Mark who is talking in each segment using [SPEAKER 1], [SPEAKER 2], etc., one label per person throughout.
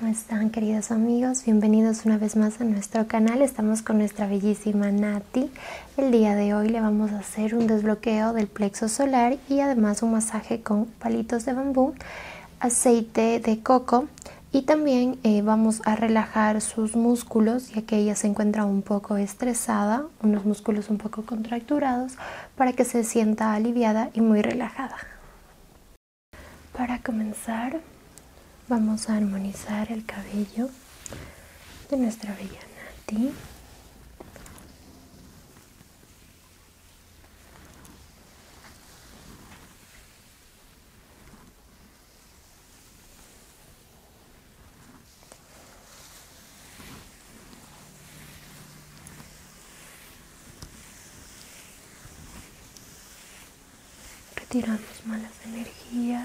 [SPEAKER 1] ¿Cómo están queridos amigos? Bienvenidos una vez más a nuestro canal. Estamos con nuestra bellísima Nati el día de hoy le vamos a hacer un desbloqueo del plexo solar y además un masaje con palitos de bambú, aceite de coco y también eh, vamos a relajar sus músculos ya que ella se encuentra un poco estresada, unos músculos un poco contracturados para que se sienta aliviada y muy relajada. Para comenzar Vamos a armonizar el cabello de nuestra bella Nati. Retiramos malas energías.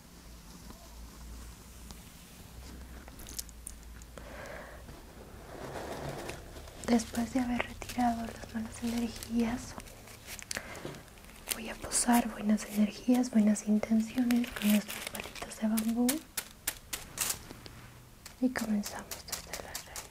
[SPEAKER 1] Después de haber retirado las malas energías, voy a posar buenas energías, buenas intenciones con nuestras palitos de bambú y comenzamos desde la raíz.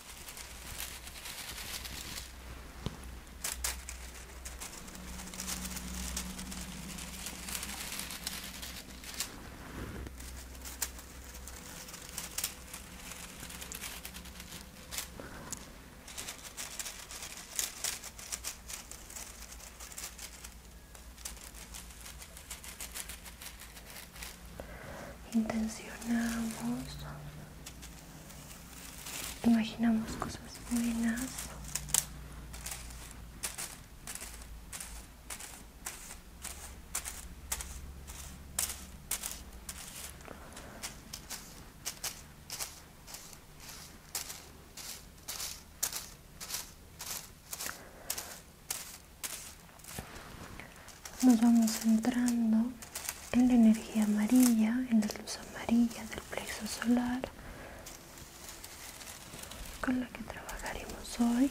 [SPEAKER 1] intencionamos imaginamos cosas buenas nos vamos centrando en la energía amarilla, en la luz amarilla del plexo solar con la que trabajaremos hoy.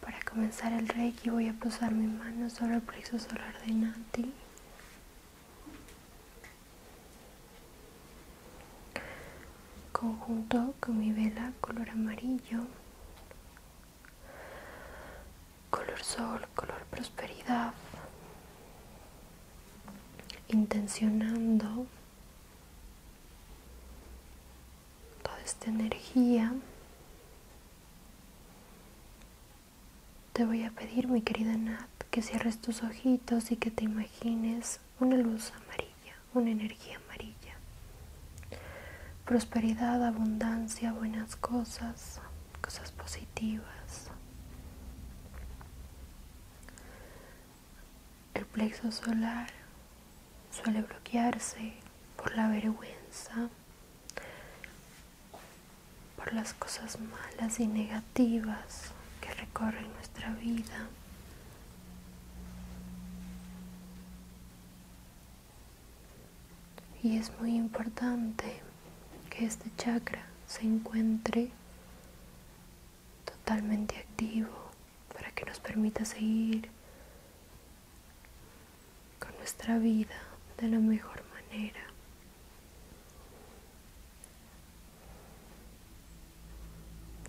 [SPEAKER 1] Para comenzar el reiki voy a posar mi mano sobre el plexo solar de Nati. Conjunto con mi vela color amarillo, color sol, color prosperidad, intencionando toda esta energía, te voy a pedir, mi querida Nat, que cierres tus ojitos y que te imagines una luz amarilla, una energía amarilla. Prosperidad, abundancia, buenas cosas, cosas positivas. El plexo solar suele bloquearse por la vergüenza, por las cosas malas y negativas que recorren nuestra vida. Y es muy importante que este chakra se encuentre totalmente activo para que nos permita seguir con nuestra vida de la mejor manera.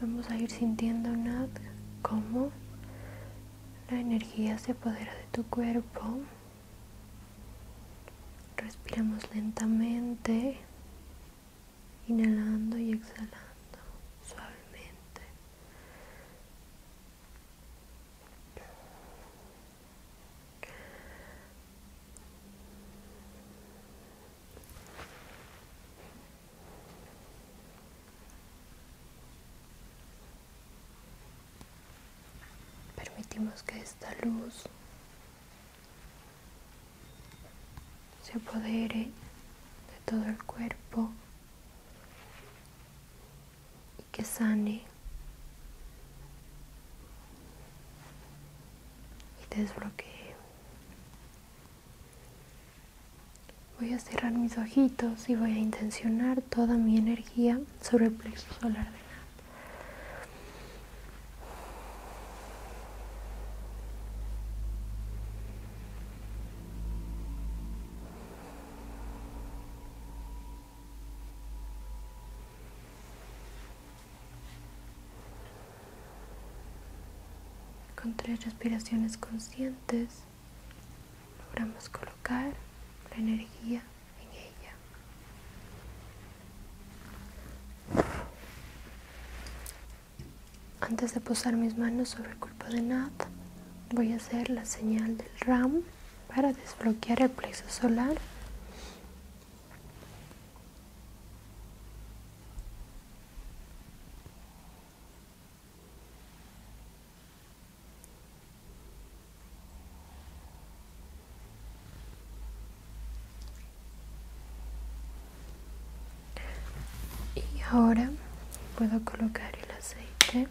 [SPEAKER 1] Vamos a ir sintiendo nada como la energía se apodera de tu cuerpo. Respiramos lentamente, inhalando y exhalando suavemente. Permitimos que esta luz se apodere de todo el cuerpo y que sane y desbloquee. Voy a cerrar mis ojitos y voy a intencionar toda mi energía sobre el plexo solar de con tres respiraciones conscientes logramos colocar la energía en ella. Antes de posar mis manos sobre el cuerpo de Nat, voy a hacer la señal del ram para desbloquear el plexo solar y ahora puedo colocar el aceite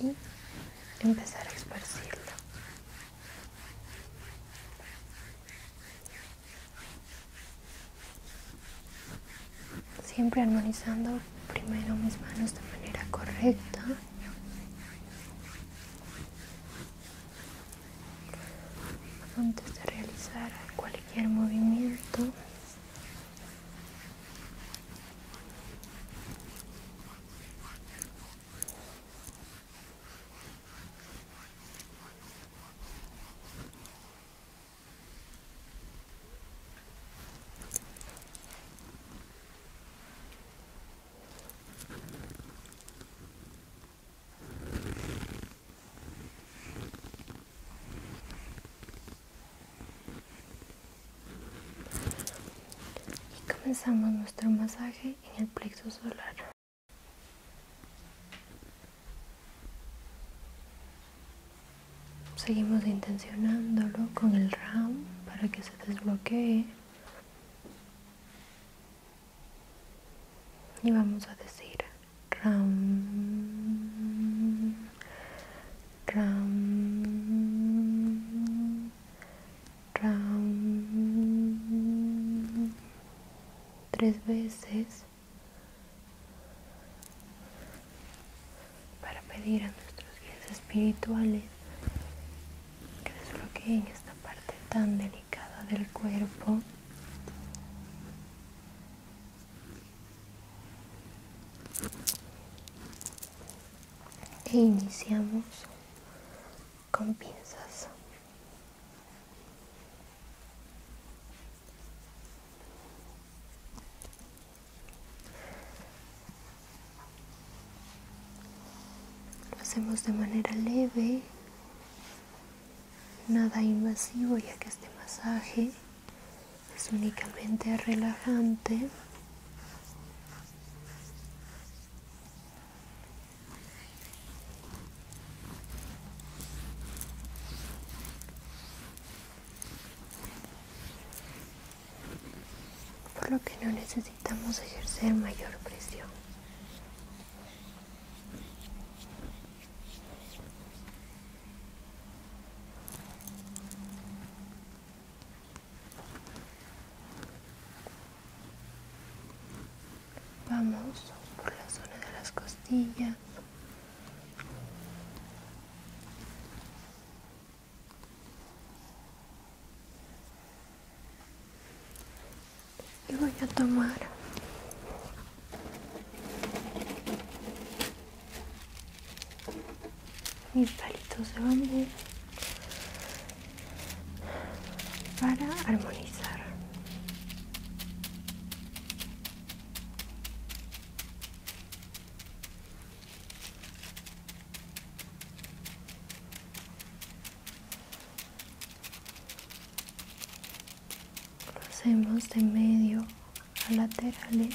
[SPEAKER 1] y empezar a esparcirlo. Siempre armonizando primero mis manos de manera correcta. Antes de realizar cualquier movimiento. Y comenzamos nuestro masaje en el plexo solar. Seguimos intencionándolo con el ram para que se desbloquee y vamos a decir ram ram ram tres veces para pedir a nuestros guías espirituales que desbloqueen esta parte tan delicada del cuerpo e iniciamos con pinzas lo hacemos de manera leve, nada invasivo ya que este masaje es únicamente relajante por lo que no necesitamos ejercer mayor presión. Vamos por la zona de las costillas y voy a tomar mis palitos de bambú para armonizar lo hacemos de medio a laterales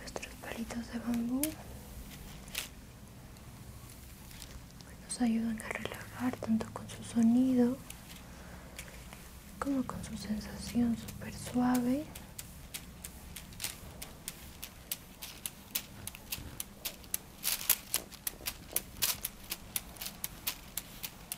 [SPEAKER 1] nuestros palitos de bambú nos ayudan a relajar tanto con su sonido como con su sensación súper suave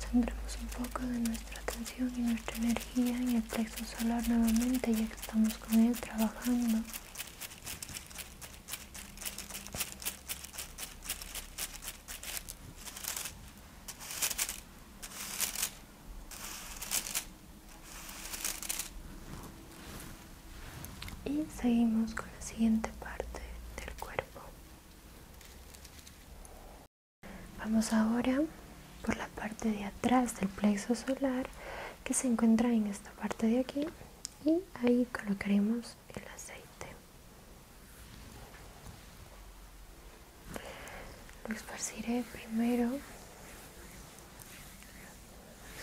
[SPEAKER 1] Centremos un poco de nuestra atención y nuestra energía en el plexo solar nuevamente ya que estamos con él trabajando. Y seguimos con la siguiente parte del cuerpo. Vamos ahora por la parte de atrás del plexo solar que se encuentra en esta parte de aquí y ahí colocaremos el aceite. Lo esparciré primero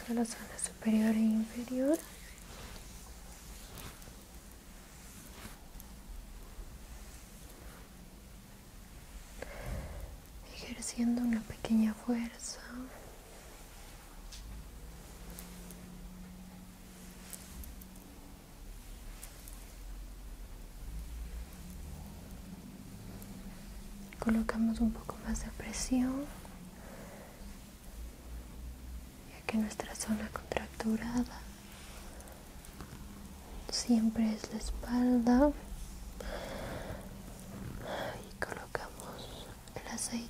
[SPEAKER 1] en la zona superior e inferior ejerciendo una pequeña fuerza colocamos un poco más de presión ya que nuestra zona contracturada siempre es la espalda y colocamos el aceite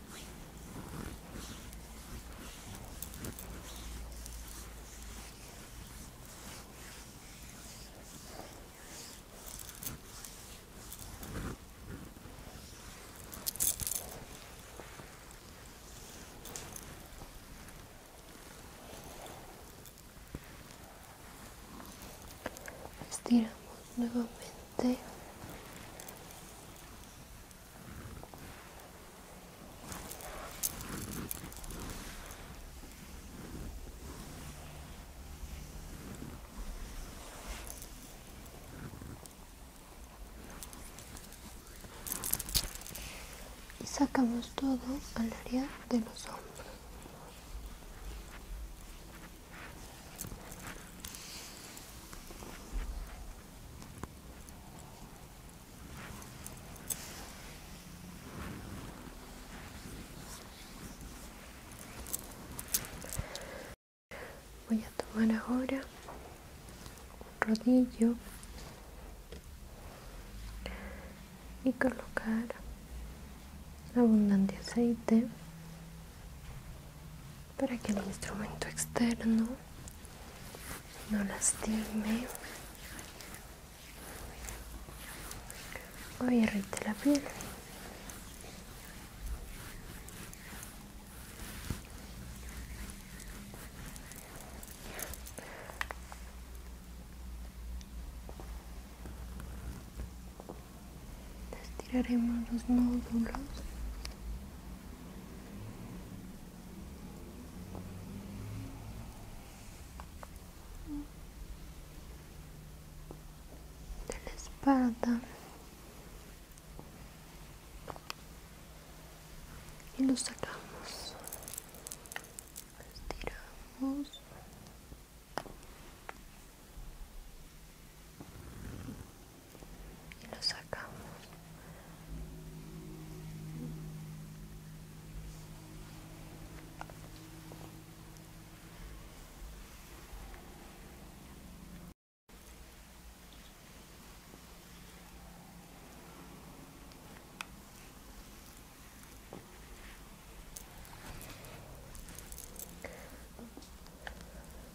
[SPEAKER 1] Estiramos nuevamente y sacamos todo al área de los hombros. Voy a tomar ahora un rodillo y colocar abundante aceite para que el instrumento externo no lastime o irrite la piel. Estiraremos los nódulos de la espalda y lo sacamos estiramos y lo sacamos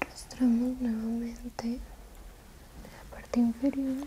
[SPEAKER 1] rastramos nuevamente la parte inferior.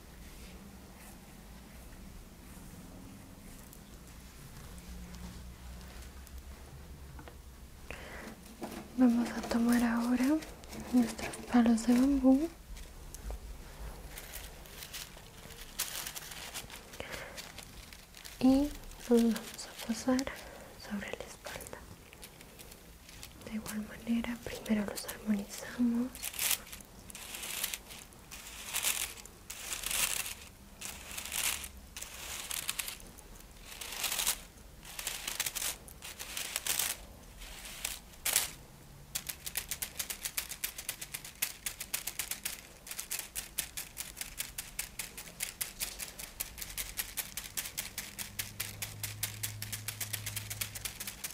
[SPEAKER 1] Vamos a tomar ahora nuestros palos de bambú. Y los vamos a pasar sobre la espalda de igual manera primero los armonizamos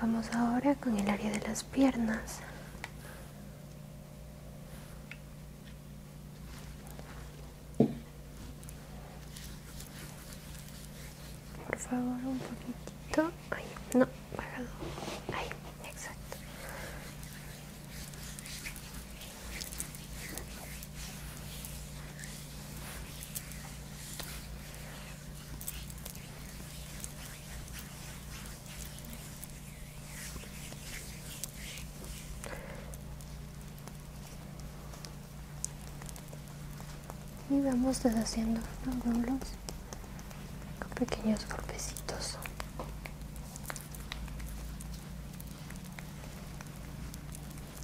[SPEAKER 1] Vamos ahora con el área de las piernas. Por favor, un poquitito. Ay, no, parado. Ahí, exacto y vamos deshaciendo los con pequeños golpecitos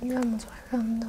[SPEAKER 1] y vamos bajando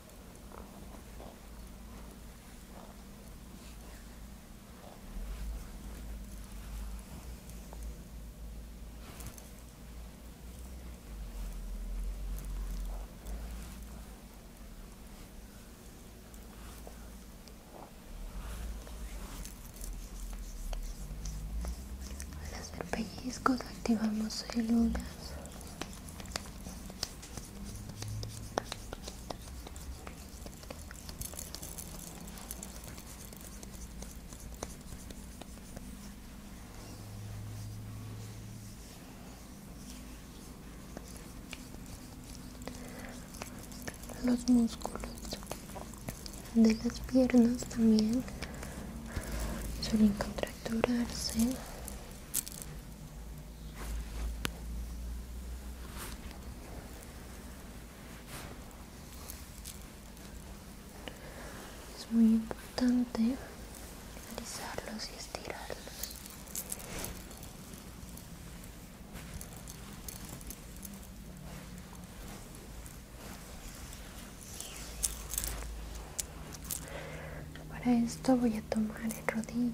[SPEAKER 1] Al hacer pellizcos activamos células los músculos de las piernas también suelen contracturarse es muy importante realizarlos y estirarlos. Para esto voy a tomar el rodillo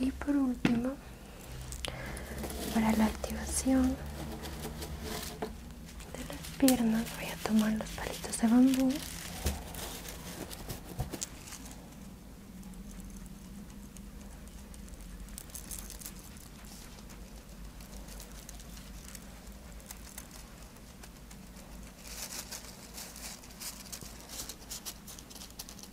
[SPEAKER 1] y por último para la activación de las piernas voy a tomar los palitos de bambú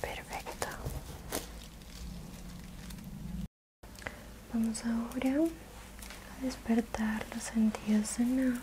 [SPEAKER 1] Perfecto. Vamos ahora a despertar los sentidos de Na.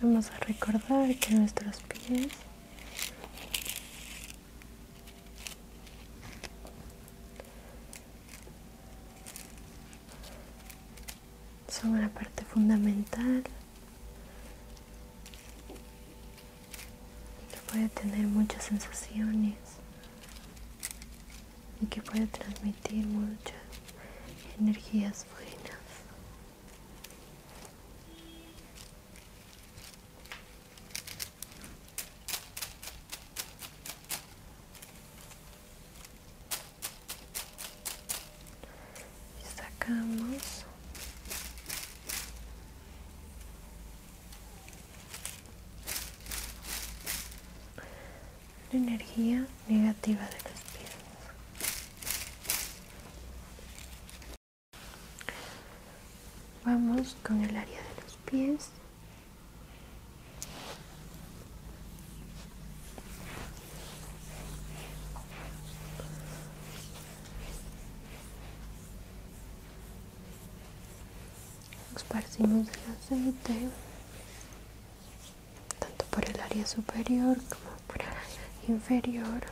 [SPEAKER 1] Vamos a recordar que nuestros pies son una parte fundamental que puede tener muchas sensaciones y que puede transmitir muchas energías buenas. sacamos la energía negativa de los pies Vamos con el área de los pies esparcimos el aceite tanto por el área superior como por el área inferior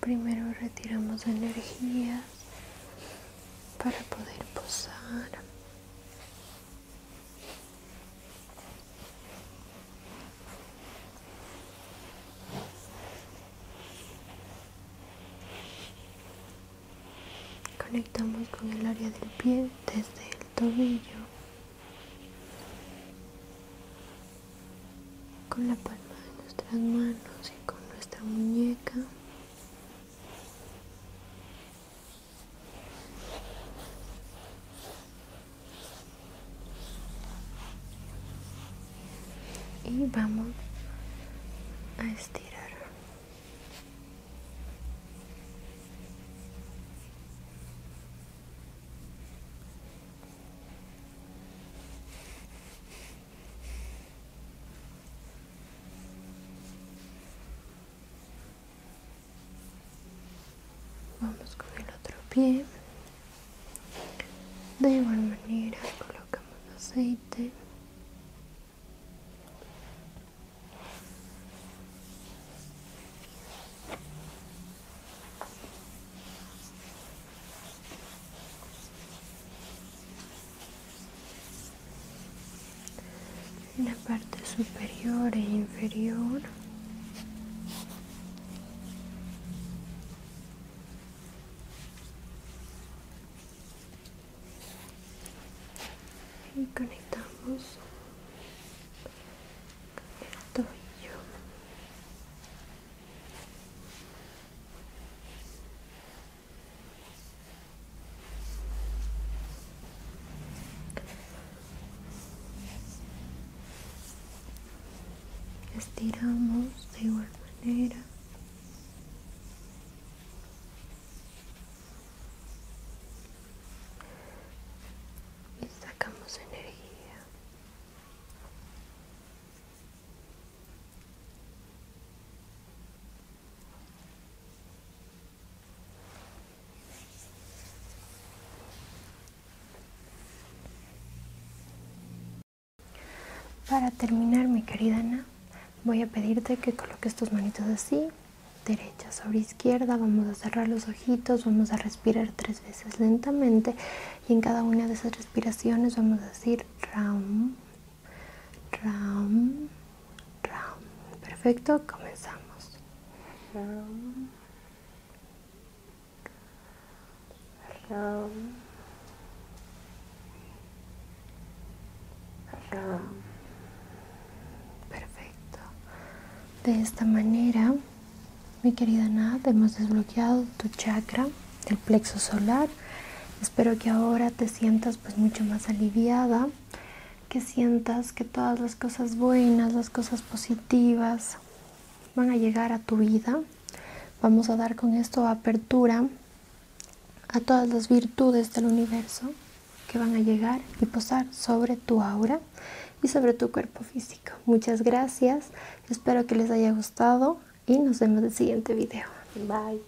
[SPEAKER 1] Primero retiramos energía para poder posar Conectamos con el área del pie desde el tobillo con la palma de nuestras manos y con nuestra muñeca y vamos a estirar Vamos con el otro pie. De igual manera colocamos aceite en la parte superior e inferior y conectamos el tobillo Estiramos de igual manera. Y sacamos energía. Para terminar, mi querida Ana, voy a pedirte que coloques tus manitos así, derecha sobre izquierda. Vamos a cerrar los ojitos, vamos a respirar tres veces lentamente y en cada una de esas respiraciones vamos a decir Ram, Ram, ram. Perfecto, comenzamos. Ram, ram, ram. Perfecto. De esta manera, mi querida Nat, hemos desbloqueado tu chakra del plexo solar. Espero que ahora te sientas pues mucho más aliviada que sientas que todas las cosas buenas, las cosas positivas van a llegar a tu vida. Vamos a dar con esto apertura a todas las virtudes del universo que van a llegar y posar sobre tu aura y sobre tu cuerpo físico. Muchas gracias, espero que les haya gustado y nos vemos en el siguiente video. Bye.